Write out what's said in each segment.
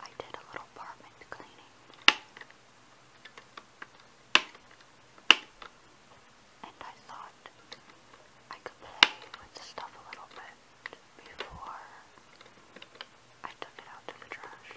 I did a little apartment cleaning. And I thought I could play with stuff a little bit before I took it out to the trash.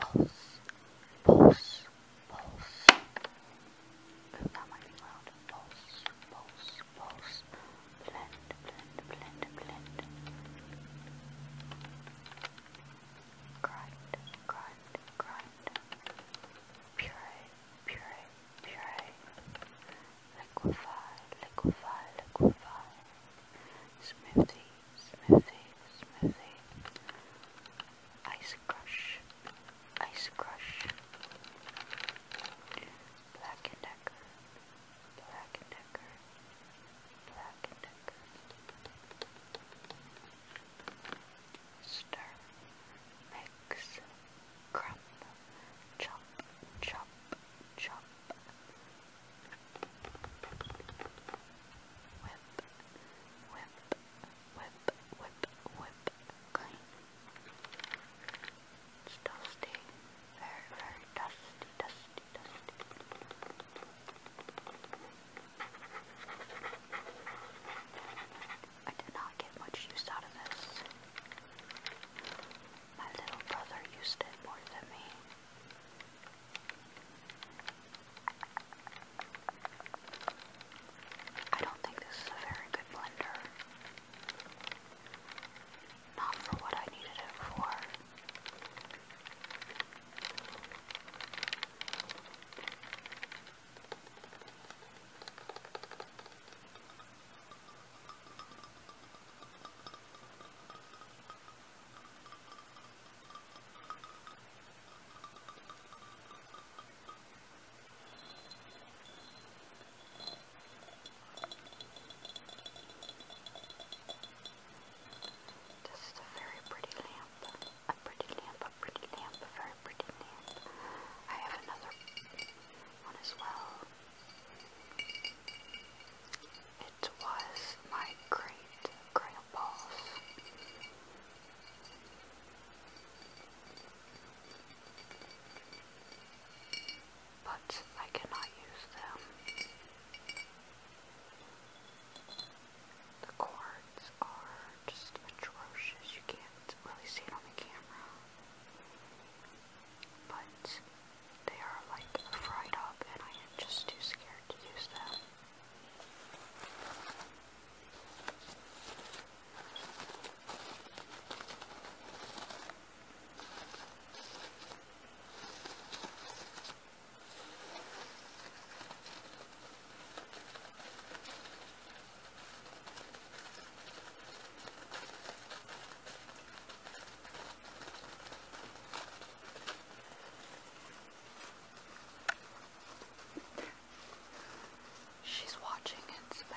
Pulse, pulse, pulse. Ooh, that might be loud. Pulse, pulse, pulse. Blend, blend, blend, blend. Grind, grind, grind. Puree, puree, puree liquefy, liquefy, liquefy, smoothie, smoothie, smoothie, ice crush, ice crush, black and decker, black and decker, black and decker, stir, mix, crumb, chop, chop, chop, whip, whip, whip, whip, whip, clean. dusty, very, very dusty, dusty, dusty. I did not get much use out of this. My little brother used it more than me. I don't think this is a very good blender. Not for what I needed it for. This is a very pretty lamp. A pretty lamp, a pretty lamp, a very pretty lamp. I have another one as well. It was my great grandpa's. But I cannot use them. The cords are just atrocious. You can't really see it on the camera. But they are like fried up and I am just too scared to use them. She's watching it spin.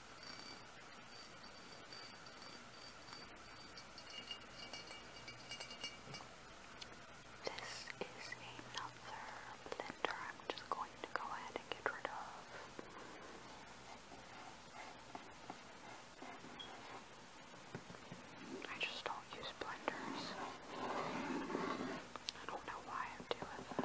This is another blender I'm just going to go ahead and get rid of. I just don't use blenders. I don't know why I do it.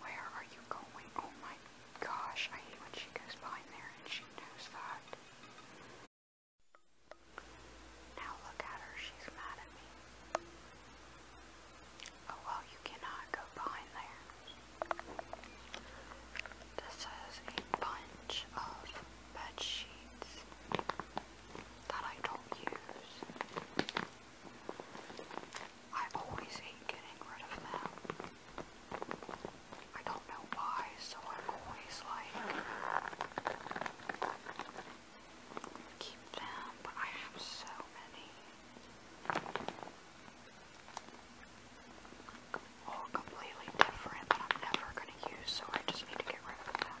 Where are you going? Oh my gosh, I hate when she goes behind there and she knows that. Now look at her, she's mad at me. Oh well, you cannot go behind there. This is a bunch of bed that I don't use. I always hate getting rid of them. I don't know why, so I'm always like, keep them, but I have so many. All completely different that I'm never going to use, so I just need to get rid of them.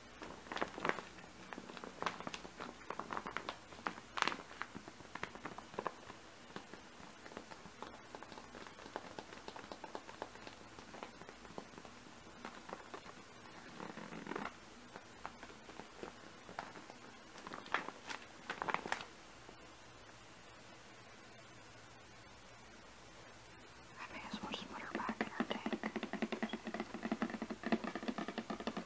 I may as well just put her back in her tank.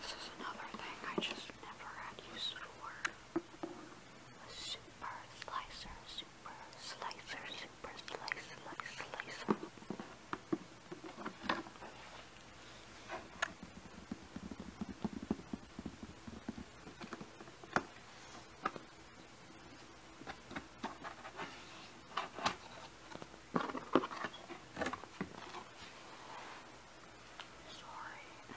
This is another thing I just never had for super slicer, super slicer, super slicer, slice, slicer. Sorry.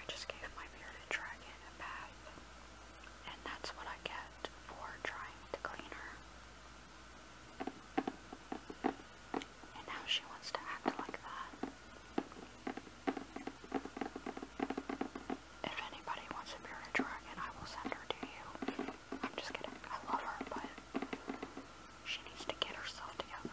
I just gave my bearded dragon a bath, and that's what I get for trying to clean her. And now she wants to act like that. If anybody wants a bearded dragon, I will send her to you. I'm just kidding. I love her, but she needs to get herself together.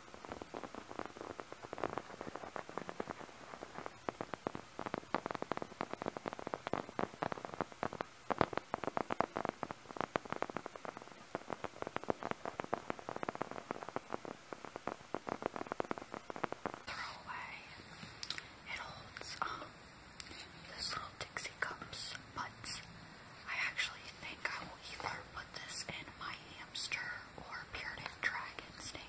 It holds um, this little Dixie cups, but I actually think I will either put this in my hamster or bearded dragon snake.